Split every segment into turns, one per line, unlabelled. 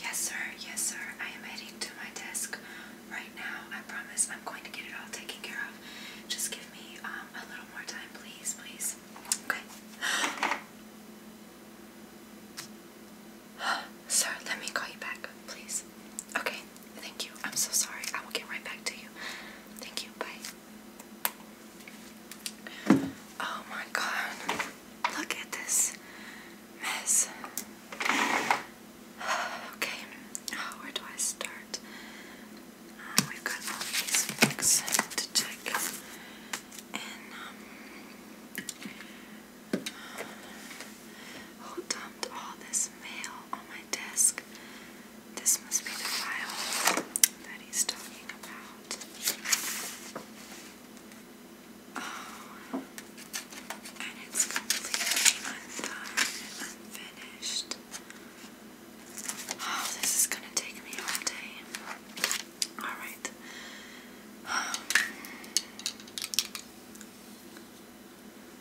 Yes, sir. Yes, sir. I am heading to my desk right now. I promise I'm going to get it all taken care of. Just give me um, a little more time, please, please. Okay. Sir, let me call you back, please. Okay, thank you. I'm so sorry. I will get right back to you. Thank you. Bye. Oh my god. Look at this mess. Okay, oh, where do I start? Uh, we've got all these books to check. And, um, who dumped all this mail on my desk? This must be the file that he's talking about. Oh, and it's completely undone and unfinished. Oh, this is gonna take me all day. Alright.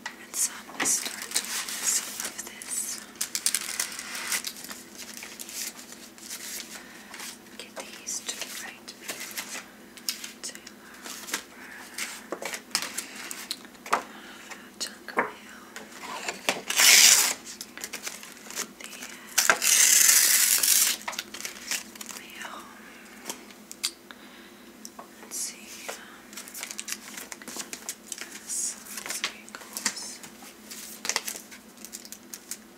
and so I'm gonna start doing some of this. Get these to the right. Taylor over chunk of the mail. Let's see. Um, this, this goes. I think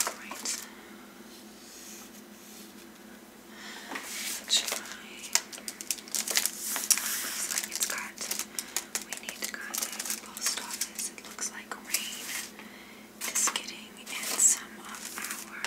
alright. Let's try. Looks like it's got, we need to contact the post office. It looks like rain is getting in some of our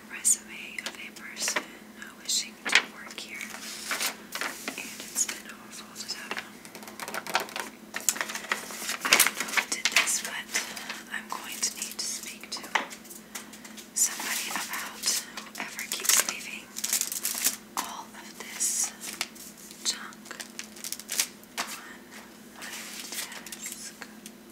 resume of a person wishing to work here, and it's been awful to them. I don't know this, but I'm going to need to speak to somebody about whoever keeps leaving all of this junk on my desk.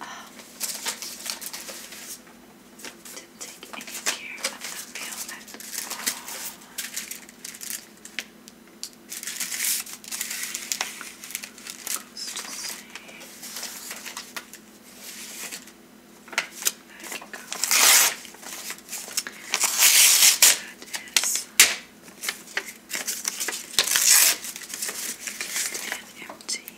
Um, did take any care of the meal at all. Goes to say that can go. That is an empty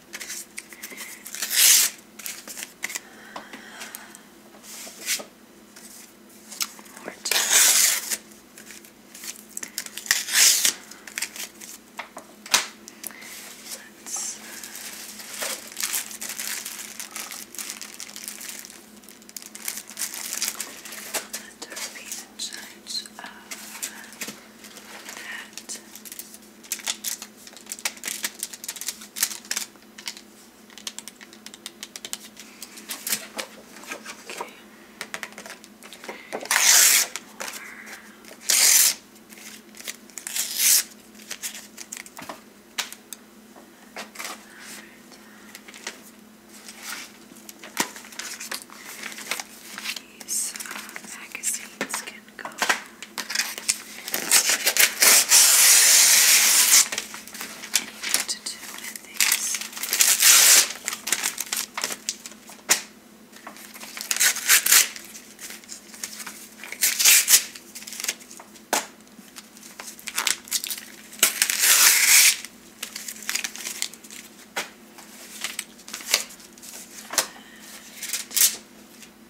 More time. Let's let there be the sides of that. These uh, magazines can and go. Anything to do with these.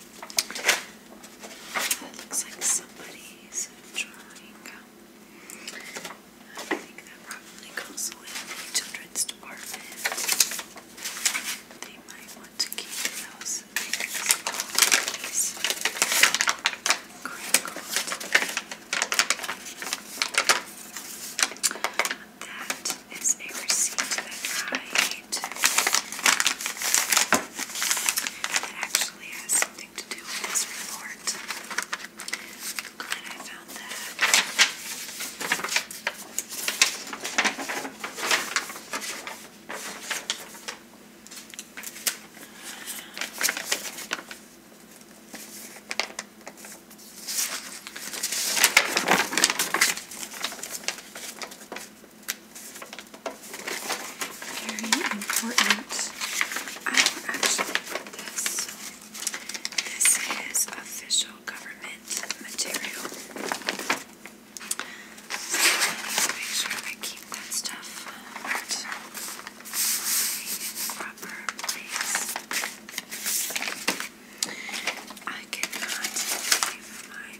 That looks like somebody's drawing. I think that probably goes with the children's department. They might want to keep those things always that is a receipt that I made that actually has something to do with this report. Glad I found that. Very important. I will actually put this. This is official government material. So I make sure I keep that stuff at the proper place. I cannot leave my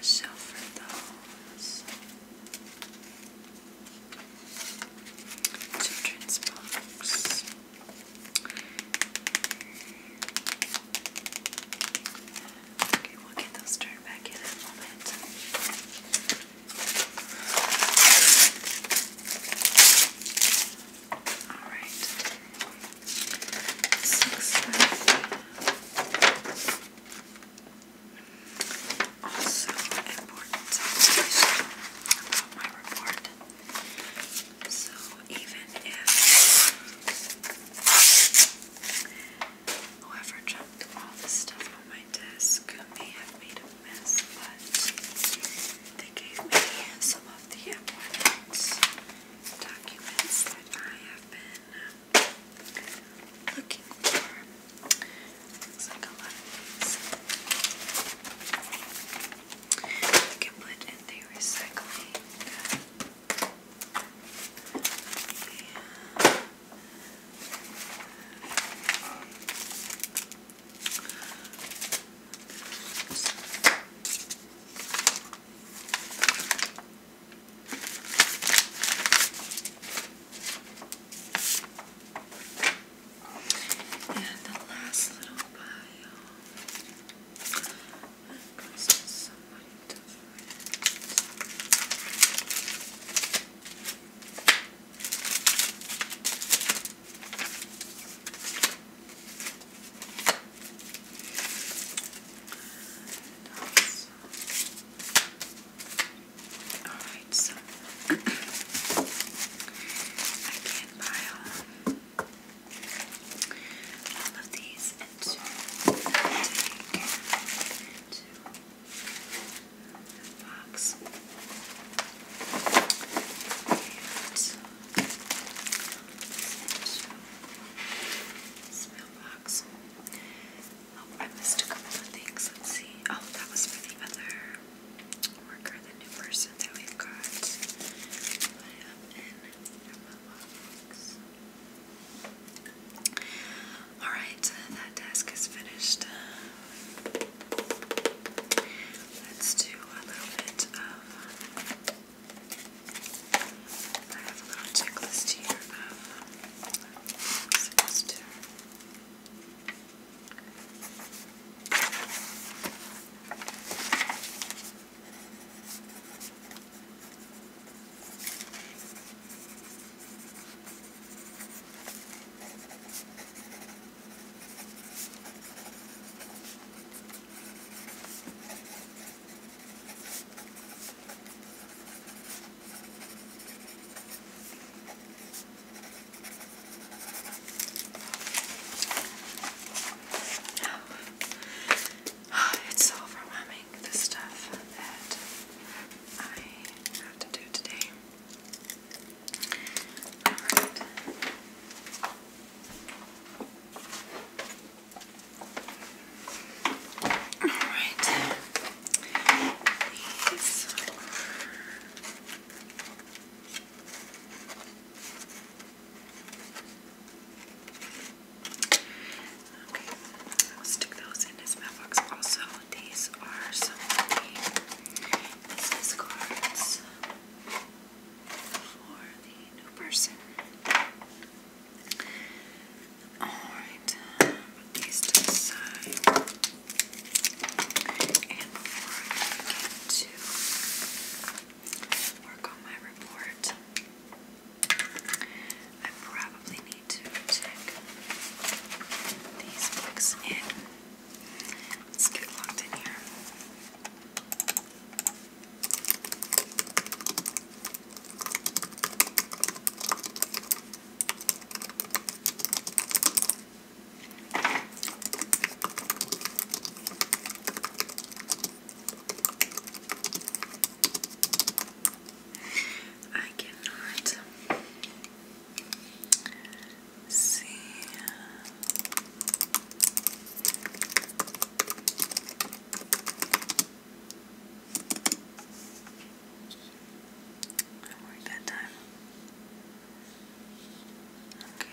So for those children's books, we'll get those turned back in a moment. All right six five. Also important information about my report. So even if whoever jumped all this stuff on my desk may have made a mess, but they gave me some of the important documents that I have been looking for. Looks like a lot You can put in the recycling. Yeah. And the last little pile goes to somebody different. And Alright, so I can pile all of these into the box. Smell mailbox. Oh, I missed a couple of things. Let's see. Oh, that was for the other worker, the new person that we got. Alright, that task is finished. Let's do a little bit of I have a little checklist here of semester. Um, I Oh, it's overwhelming, the stuff that I have to do today. Alright. All right. These Okay, we'll stick those in this mailbox. Also, these are some business cards for the new person. Alright, put uh, these to And before I get to work on my report, I probably need to check these books in. Let's get locked in here. I cannot see. Didn't work that time. Okay.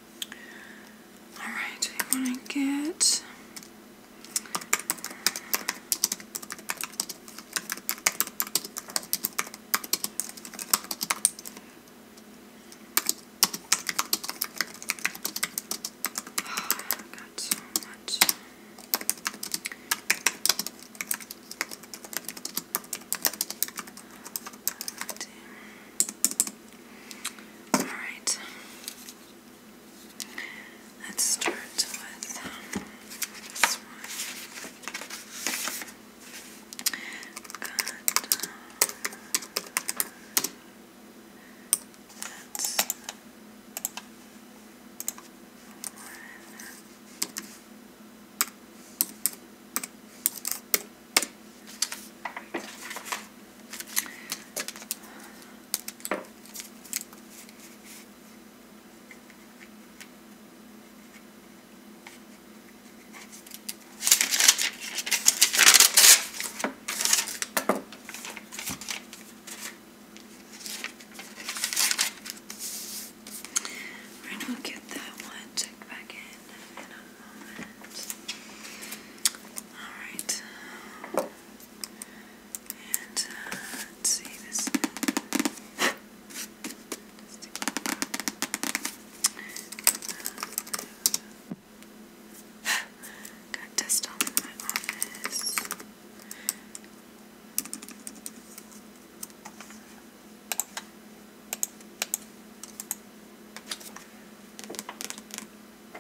Alright, I want to get. I got so much. Alright. Let's start with um, this one. Got, um, that's one. Right, I'll get that one checked back in moment. Alright. Uh, let's see this. Got dust all my office. Next, um,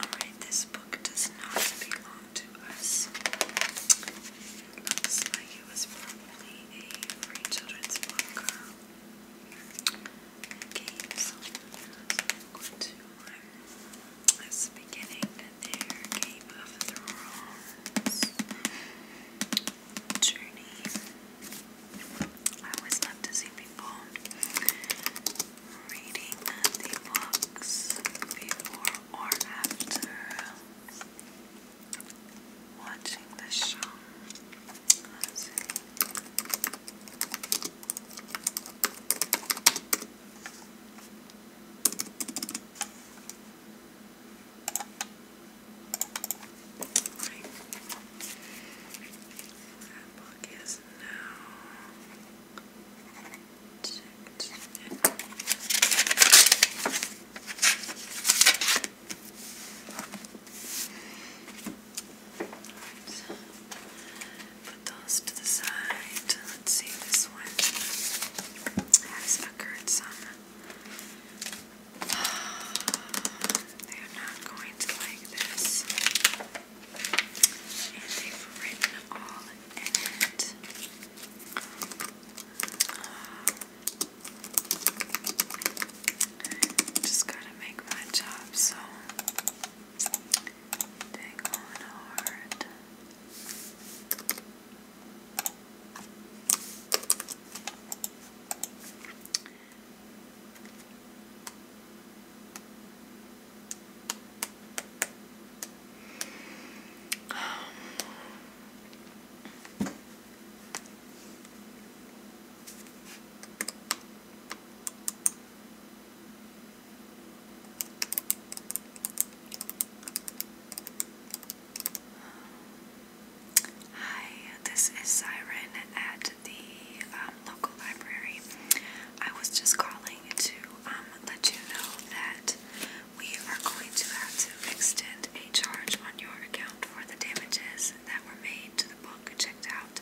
Alright, this book does not belong belong to us. looks like it was probably a free children's book and games. Go to um, this beginning their Game of Thrones journey. I always love to see people reading the books before or after watching the show. Right. That book is now Put those to the side. Let's see, this one has occurred some. They're not going to like this. And they've written all in it. Just gotta make my job so dang on hard hi, this is Siren at the um, local library. I was just calling to um, let you know that we are going to have to extend a charge on your account for the damages that were made to the book checked out.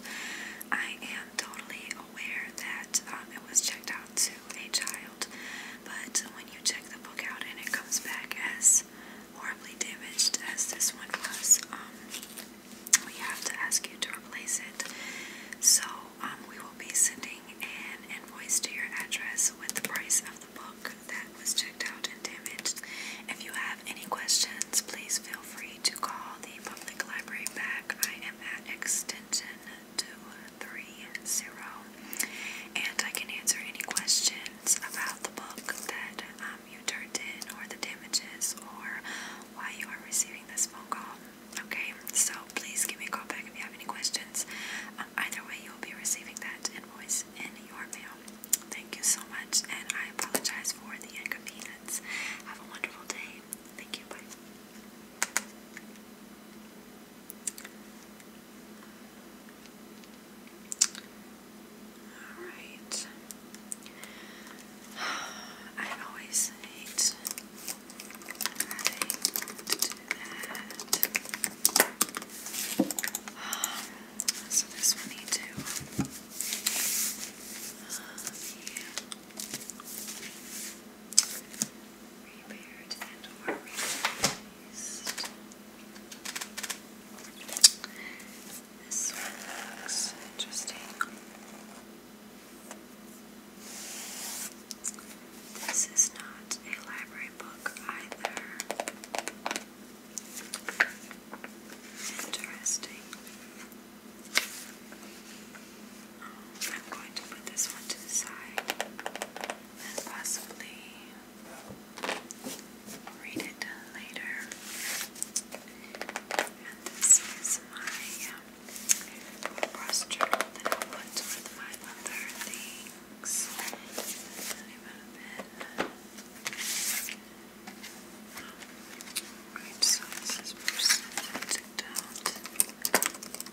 I am totally aware that um, it was checked out to a child, but when you check the book out and it comes back as horribly damaged as this one was, um, we have to ask you to replace it. So um, we will be sending an invoice to your address with the price of the book that was checked out and damaged. If you have any questions, please feel free to call the public library back. I am at extension 230, and I can answer any questions about the book that um, you turned in, or the damages, or why you are receiving this phone call. Okay, so please give me a call back if you have any questions. Um, either way, you'll be receiving that invoice in your mail. Thank you so much, and I apologize for the inconvenience. Have a wonderful day. Thank you. Alright. I always hate um, so this one need to uh, be repaired and or replaced. This one looks interesting. This is not a library book either. Interesting. Oh, I'm going to put this one to the side and possibly read it later. And this is my um, the cross that I put with my other things. It would have been. Right, so this is percentage out. Two,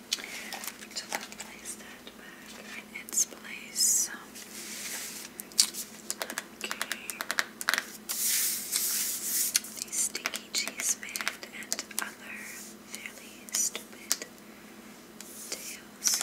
So we place that back in its place. Okay. The sticky cheese man and other fairly stupid tales.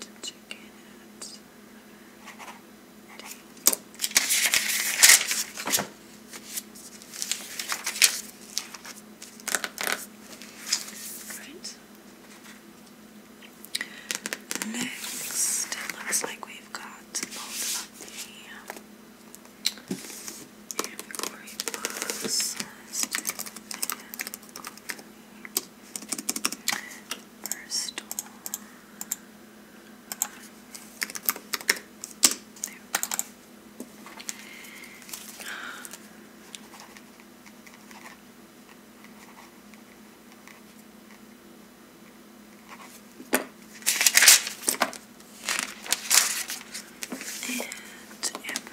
to check Right. Next, it looks like we've got both of the Amigori books. First one. And Amber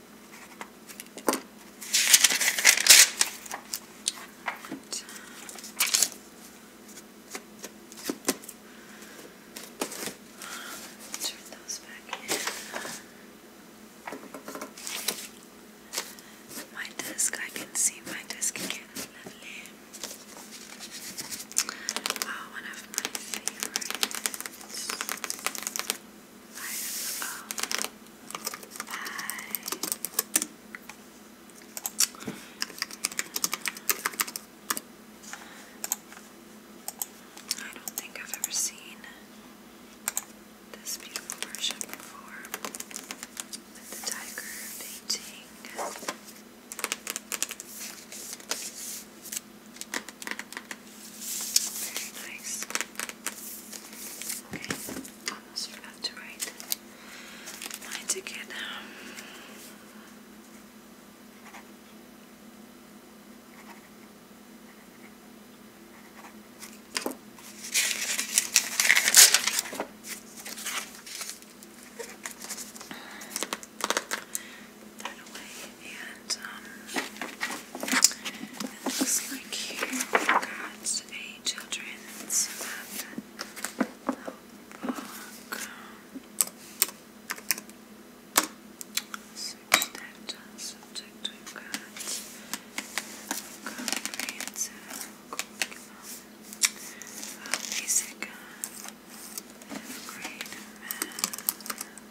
Right. Turn those back My disc, I can see my disc again. Oh, one of my favorites. I don't think I've ever seen this beautiful version before with the tiger painting. Very nice. Okay, almost forgot to write my ticket that away. And um, it looks like here we've got a children's book. Subject, subject we've got comprehensive curriculum, uh, basic uh, fifth grade math.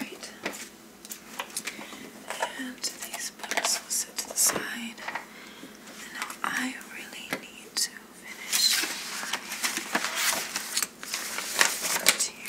Right. And these books will sit to the side. And now I really need to finish my interior.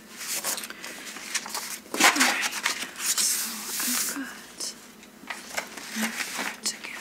Alright, so I've got everything together.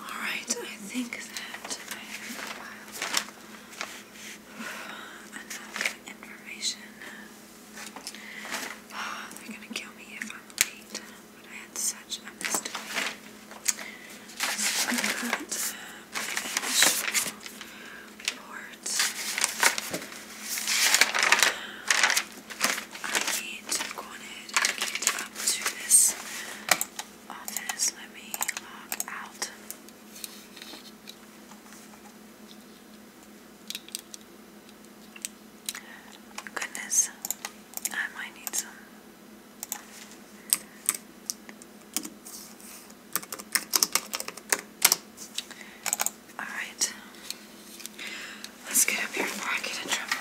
All right, I think that I have enough information. Oh, they're gonna kill me if I'm but I had such a missed I got my initial boards. I need to go ahead and get up to this office. Let me log out. Goodness, I might need some. Alright. Let's get up here before I get in trouble.